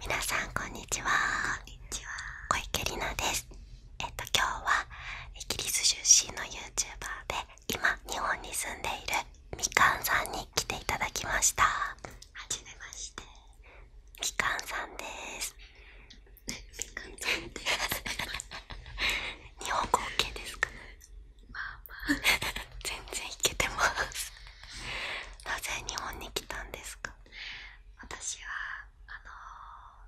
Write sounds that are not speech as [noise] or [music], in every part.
皆さんこんにちは。こんにちは。小池里奈です。えっと今日はイギリス出身の YouTuber で今日本に住んでいるみかんさんに来ていただきました。はじめまして。みかんさんです。みかんさんです。[laughs] 日本語 OK ですか？まあまあ全然いけてますなぜ日本に来たんですか私はあ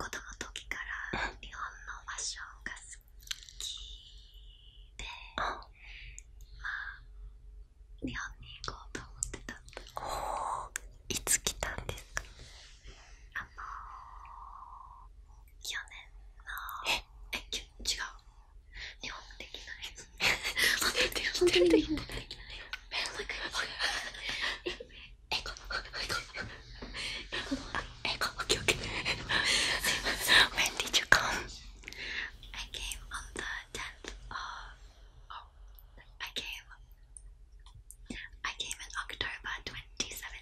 のー、子供の時から日本のファッションが好きで、まあ日本に行こうと思ってたおいつ来たんですかあのー、去年のええ違う日本できない本当に本当に日本できないええこえこえこオッケーオッケーすいません When did you come? I came on the 10th of oh, I came I came in October 2017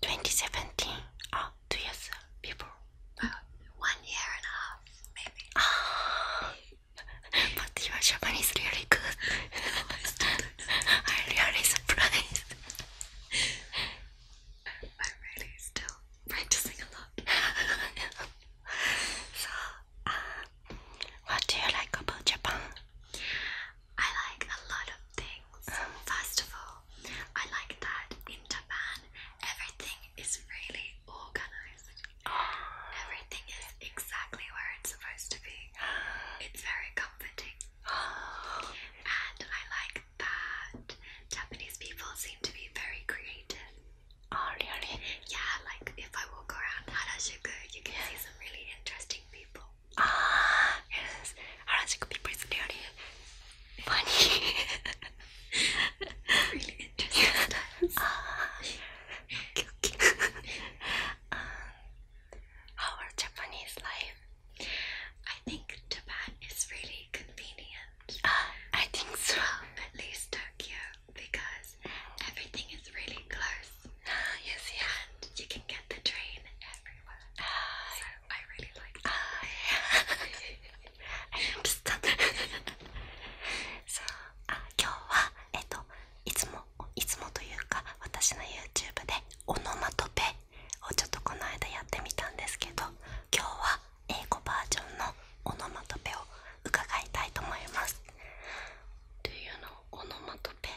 2017. two years before. Uh, one year and a half, maybe. Oh. [laughs] but your Japanese really good. [laughs] I'm really surprised. I'm really still practicing a lot. [laughs] so, uh, what do you like about Japan? I like a lot of things. First of all, I like that in Japan everything is really organized. Everything is exactly where it's supposed to be. It's very comforting. And I like that Japanese people seem to be very creative. Oh, really? Yeah, like if I walk around Harajuku, you can see some really interesting people. ああ原宿 people is really funny really interesting times okay, um, our Japanese life I think Japan is really convenient uh, I think so at least Tokyo because close. Everything is really close. Uh, yes, yeah. And you can get the train everywhere. Uh, so I really like that. Uh, yeah. I understand. so, あ今日は、えっと、いつもいつもというか私の YouTube でオノマトペをちょっとこの間やってみたんですけど今日は英語バージョンのオノマトペを伺いたいと思います。Do you know オノマトペ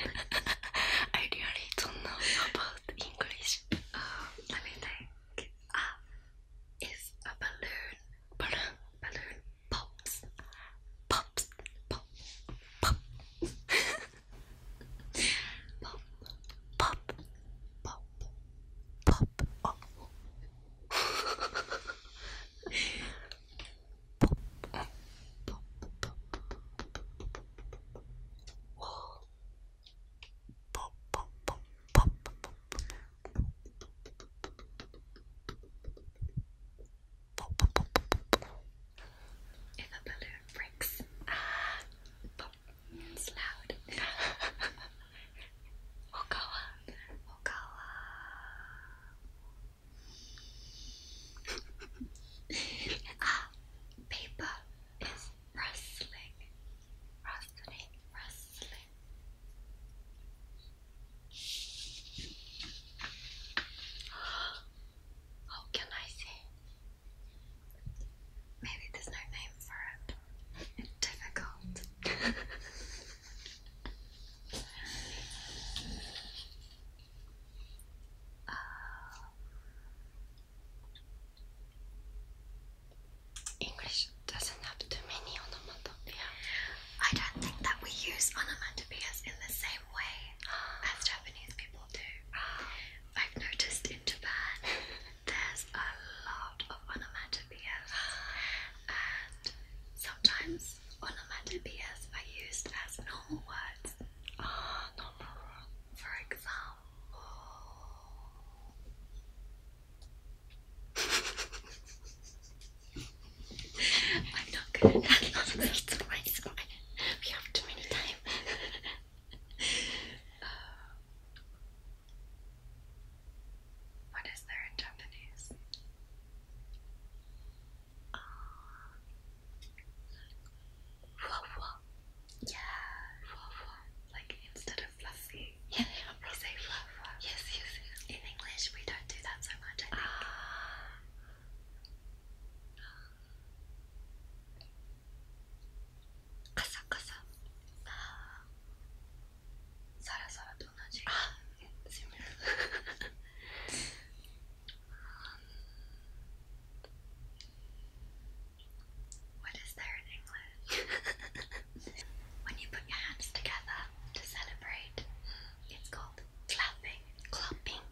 I really don't know about English let me think ah is a balloon balloon balloon pops pops pop pop pop pop pop pop up. pop up. Pop, pop, pop, pop, pop, pop, pop, pop, pop, pop, pop, if a balloon breaks, ah, pop, it's loud. [laughs] Okawa. Okawa. [laughs] ah, paper is rustling. Rustling, rustling. [gasps] How can I say Maybe there's no name for it. It's difficult. Uh, English doesn't have too many onomatopoeia. I don't think that we use onomatopoeias in the same way as Japanese people do. Ah. I've noticed in Japan there's a lot of onomatopoeias, and sometimes onomatopoeias are used as normal words. Ah, normal words. For example, [laughs] I'm not good at that. It's alright, it's alright. We have too many time. [laughs] what is there in Japanese? Uh, Wah Yeah. Wah wah. Like instead of fluffy. Yeah, We say wah wah. Yes, yes, yes. In English, we don't do that so much, カサカササラサラと同じあっすいません What is there in English? [laughs] when you put your hands together to celebrate, it's called clapping. Clapping.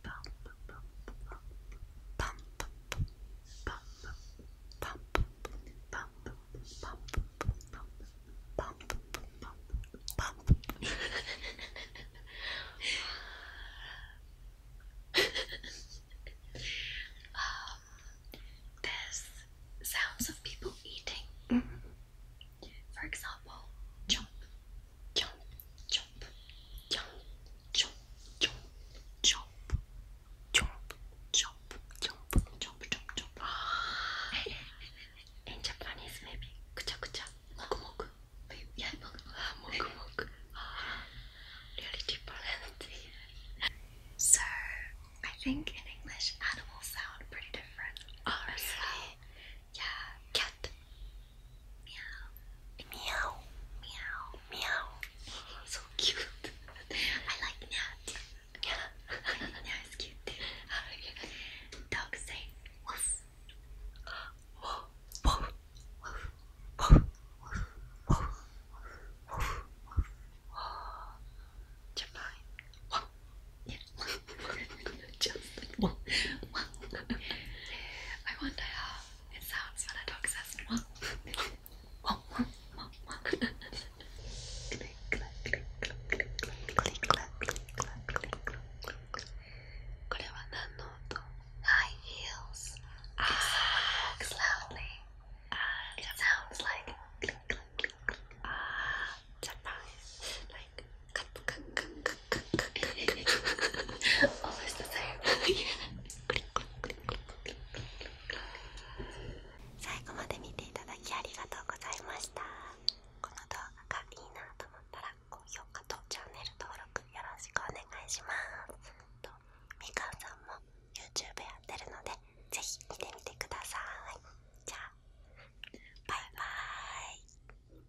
there's sounds of people eating. Mm-hmm. For example, chomp, chomp, chomp, in Japanese, maybe kucha kucha, Yeah, moku Really deep So I think in English, animals sound pretty different. Yeah, cat, Meow. Meow. Meow. Meow. So cute. I like that. Yeah. I think that is cute too. Dogs say woof. Woof. Woof. Woof. Woof. Woof. Woof. Woof. Woof. Japan. Woof. Yeah. Just like woof. Woof. I wonder how it sounds when a dog says mwah. mwah, mwah, mwah. [laughs] click, clack, click, clack, click, clack, click, clack, click, clack, click, clack, click. これは何の音 High heels. Ah. If someone walks loudly, ah. it sounds like click, click, click, click. Ah, Japan. Like, cut, cut, cut, cut, cut. Always the same. Yeah. 最後まで見ていただきありがとうございました。この動画がいいなと思ったら高評価とチャンネル登録よろしくお願いします。とみかんさんも YouTube やってるので是非見てみてください。じゃあバイバーイ。